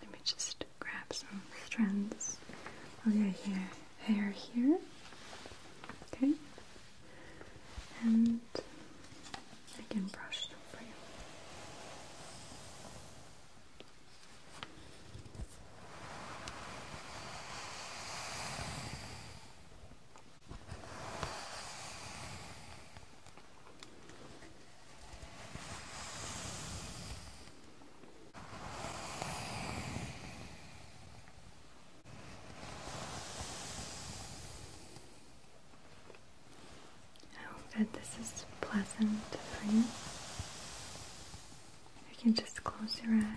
Let me just grab some strands of oh, your hair, hair here. Okay, and I can brush them for you. I hope that this is pleasant for you. You can just close your eyes.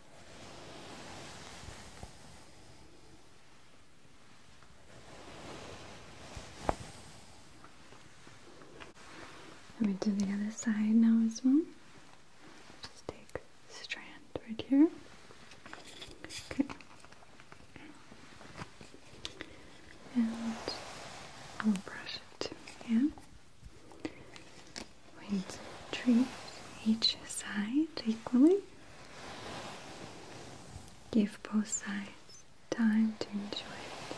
Let me do the other side now as well. Just take strand right here. Okay. And I'll brush it, yeah. Wind treat each side equally. Give both sides time to enjoy it.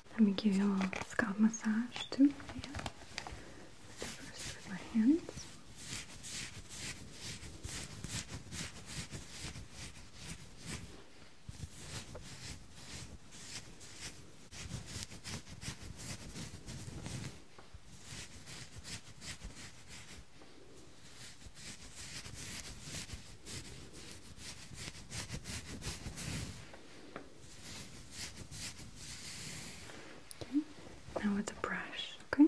Let me give you a little scalp massage too. First with my hands. Now with the brush, okay?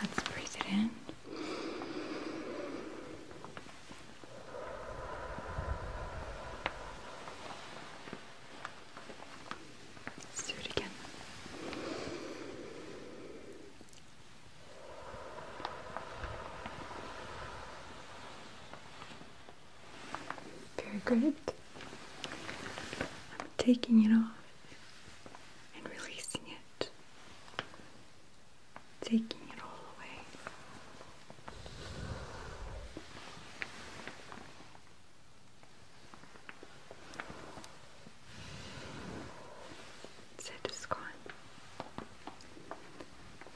Let's breathe it in. Let's do it again. Very good. I'm taking it off and releasing it, taking it all away. So it is gone.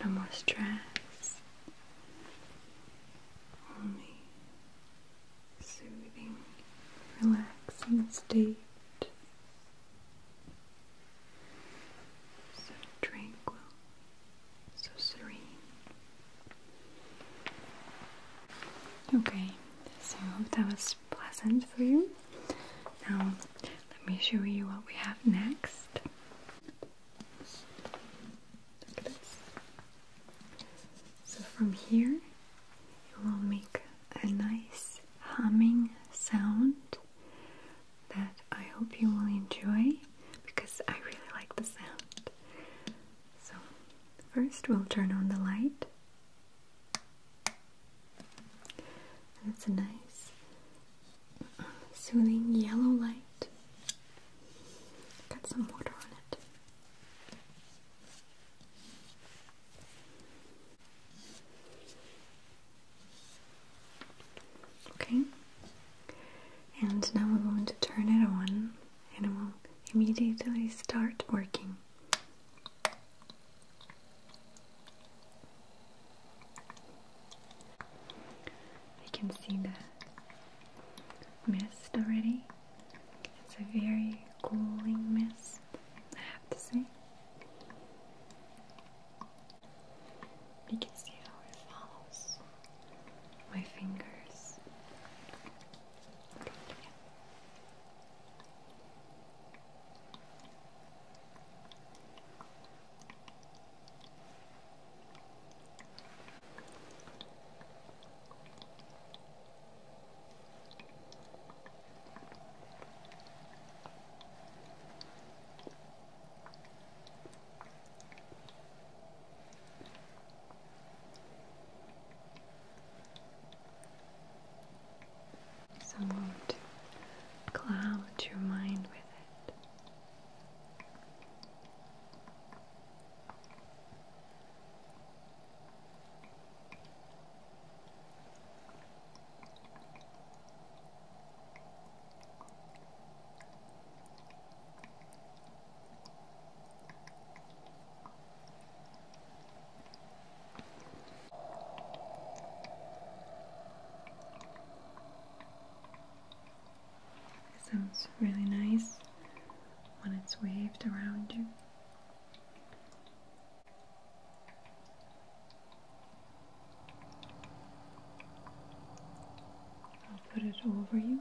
No more stress. Only soothing, relaxing state. So tranquil, so serene. Okay, so that was pleasant for you. Now, let me show you what we have next. So from here you will make a nice humming sound that I hope you will enjoy because I really like the sound. So first we'll turn on the light. And it's a nice soothing yellow light. Got some water on it. Okay, and now we're going to turn it on and it will immediately start working. You can see the mist already. It's a very cooling mist, I have to say. You can see how it follows my fingers. So won't cloud your mind with it. It sounds really nice when it's waved around you. I'll put it over you.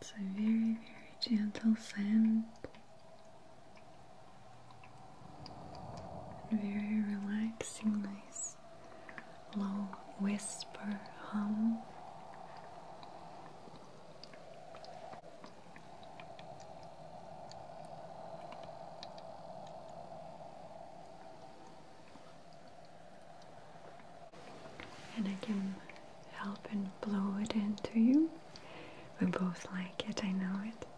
It's a very, very gentle sand. Very relaxing, nice low whisper hum. And I can help and blow it into you. We both like it, I know it.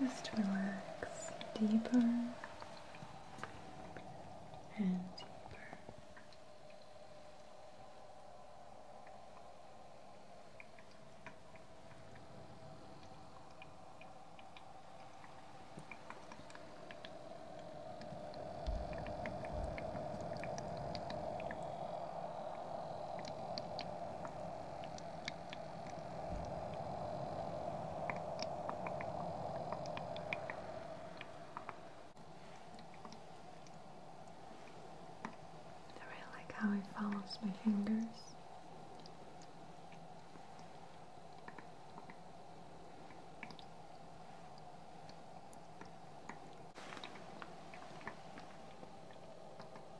Just relax deeper and deeper. I really like how it follows my fingers.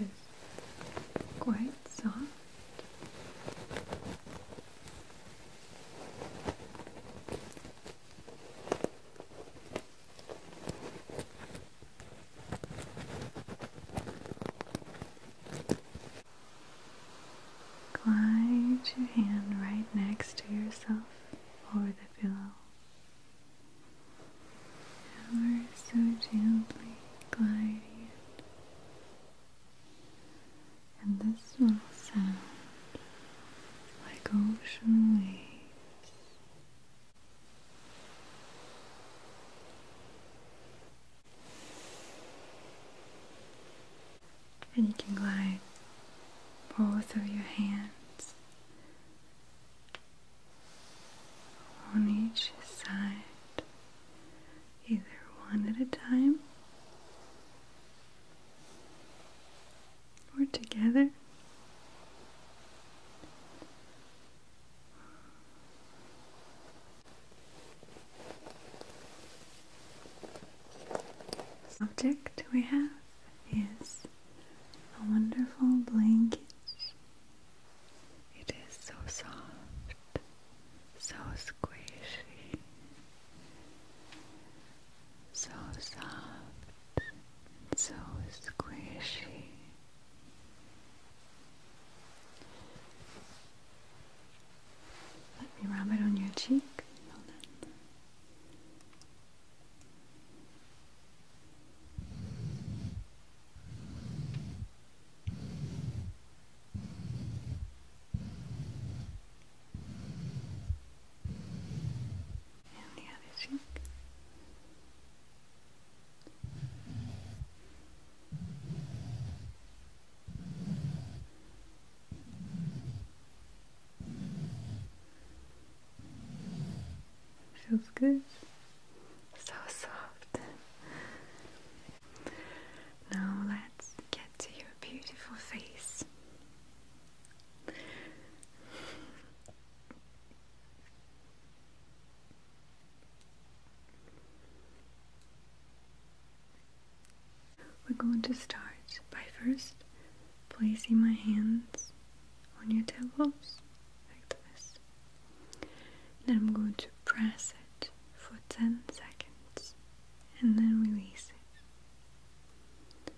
It is quite soft. Glide your hand right next to yourself over the pillow. Ever so gently gliding And this will sound like ocean waves and you can glide both of your hands on each side, either one at a time or together. Object we have is a wonderful blanket. It is so soft, so squishy, so soft, so squishy. Let me rub it on your cheek. on. the other cheek. Feels good. So soft. Now let's get to your beautiful face. We're going to start by first placing my hands on your tailbones like this. Then I'm going to press it for 10 seconds and then release it.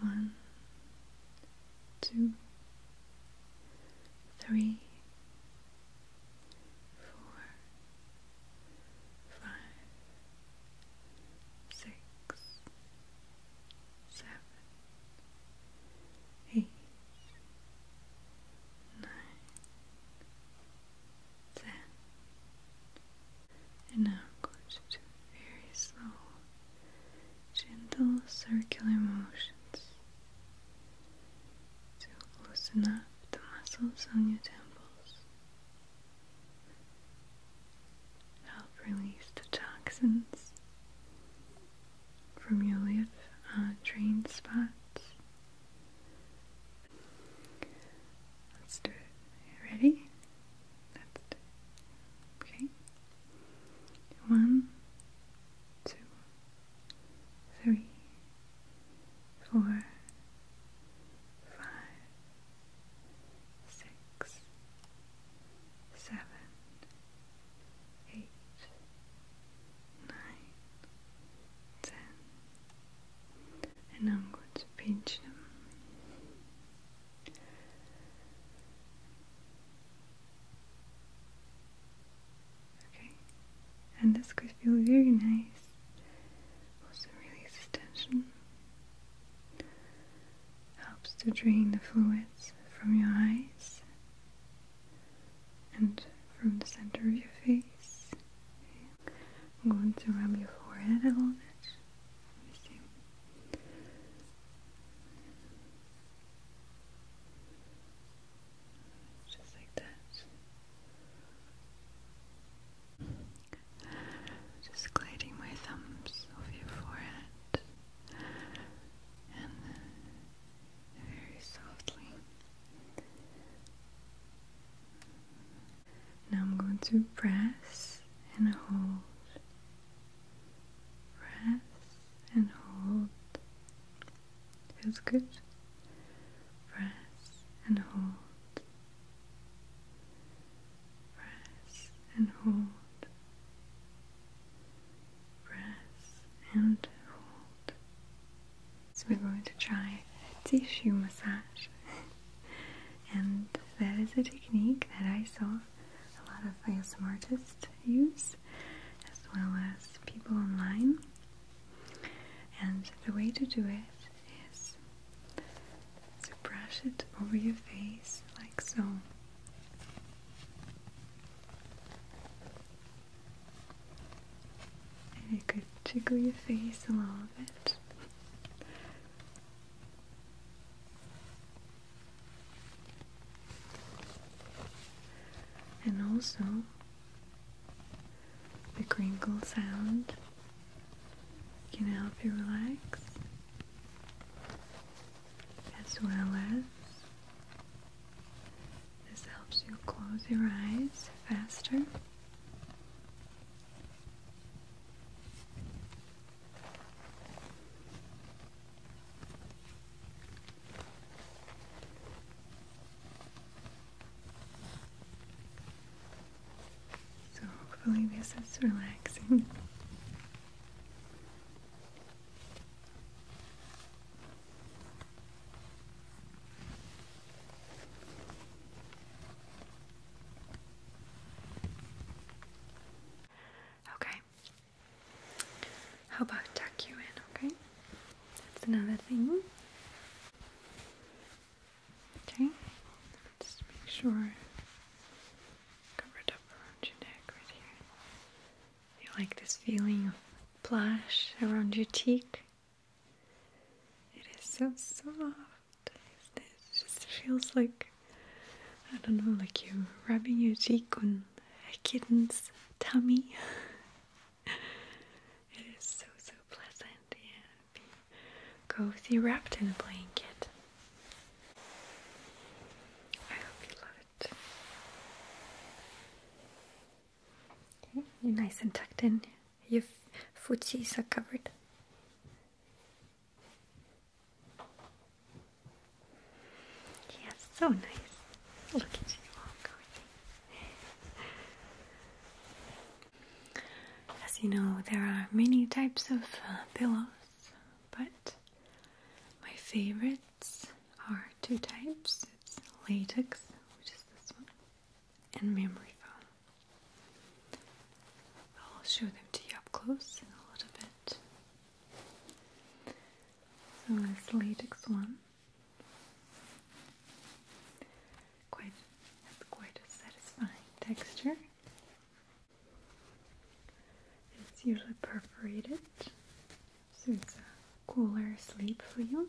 One, two, three, four, five, six, seven, eight, nine, ten. And now I'm going to do very slow, gentle circular motions to loosen up the muscles on your temples, help release the toxins from your lymph uh, drain spots. Let's do it. Ready? Let's Okay. One, two, three, four, five, six, seven, eight, nine, ten. And I'm going to pinch them. Okay, and this could feel very nice. Also releases tension. Helps to drain the fluids from your eyes and from the center of your face. Okay. I'm going to rub your forehead a little bit just like that. Just gliding my thumbs over your forehead and very softly. Now I'm going to press and hold, press and hold, Feels good. Press and hold. Press and hold. Press and hold. So we're going to try tissue massage. and that is a technique that I saw a lot of ASM artists use as well as people online. And the way to do it is to brush it over your face like so. And it could tickle your face a little bit and also the crinkle sound can help you relax as well as this helps you close your eyes faster so hopefully this is relaxing. Okay, how about tuck you in, okay? That's another thing. Okay, just make sure covered up around your neck right here. You like this feeling of plush around your cheek? It is so soft. It? it just feels like I don't know, like you're rubbing your cheek on a kitten's tummy. it is so, so pleasant. Go, be cozy wrapped in a blanket. I hope you love it. you're nice and tucked in. Your footsies are covered. Yes, so nice. As you know, there are many types of uh, pillows, but my favorites are two types. latex, which is this one, and memory foam. I'll show them to you up close in a little bit. So this latex one, quite has quite a satisfying texture. It's usually perforated, so it's a cooler sleep for you.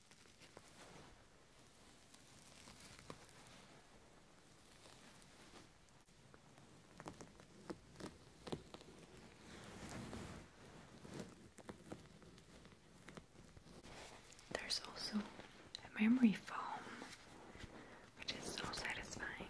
There's also a memory foam, which is so satisfying.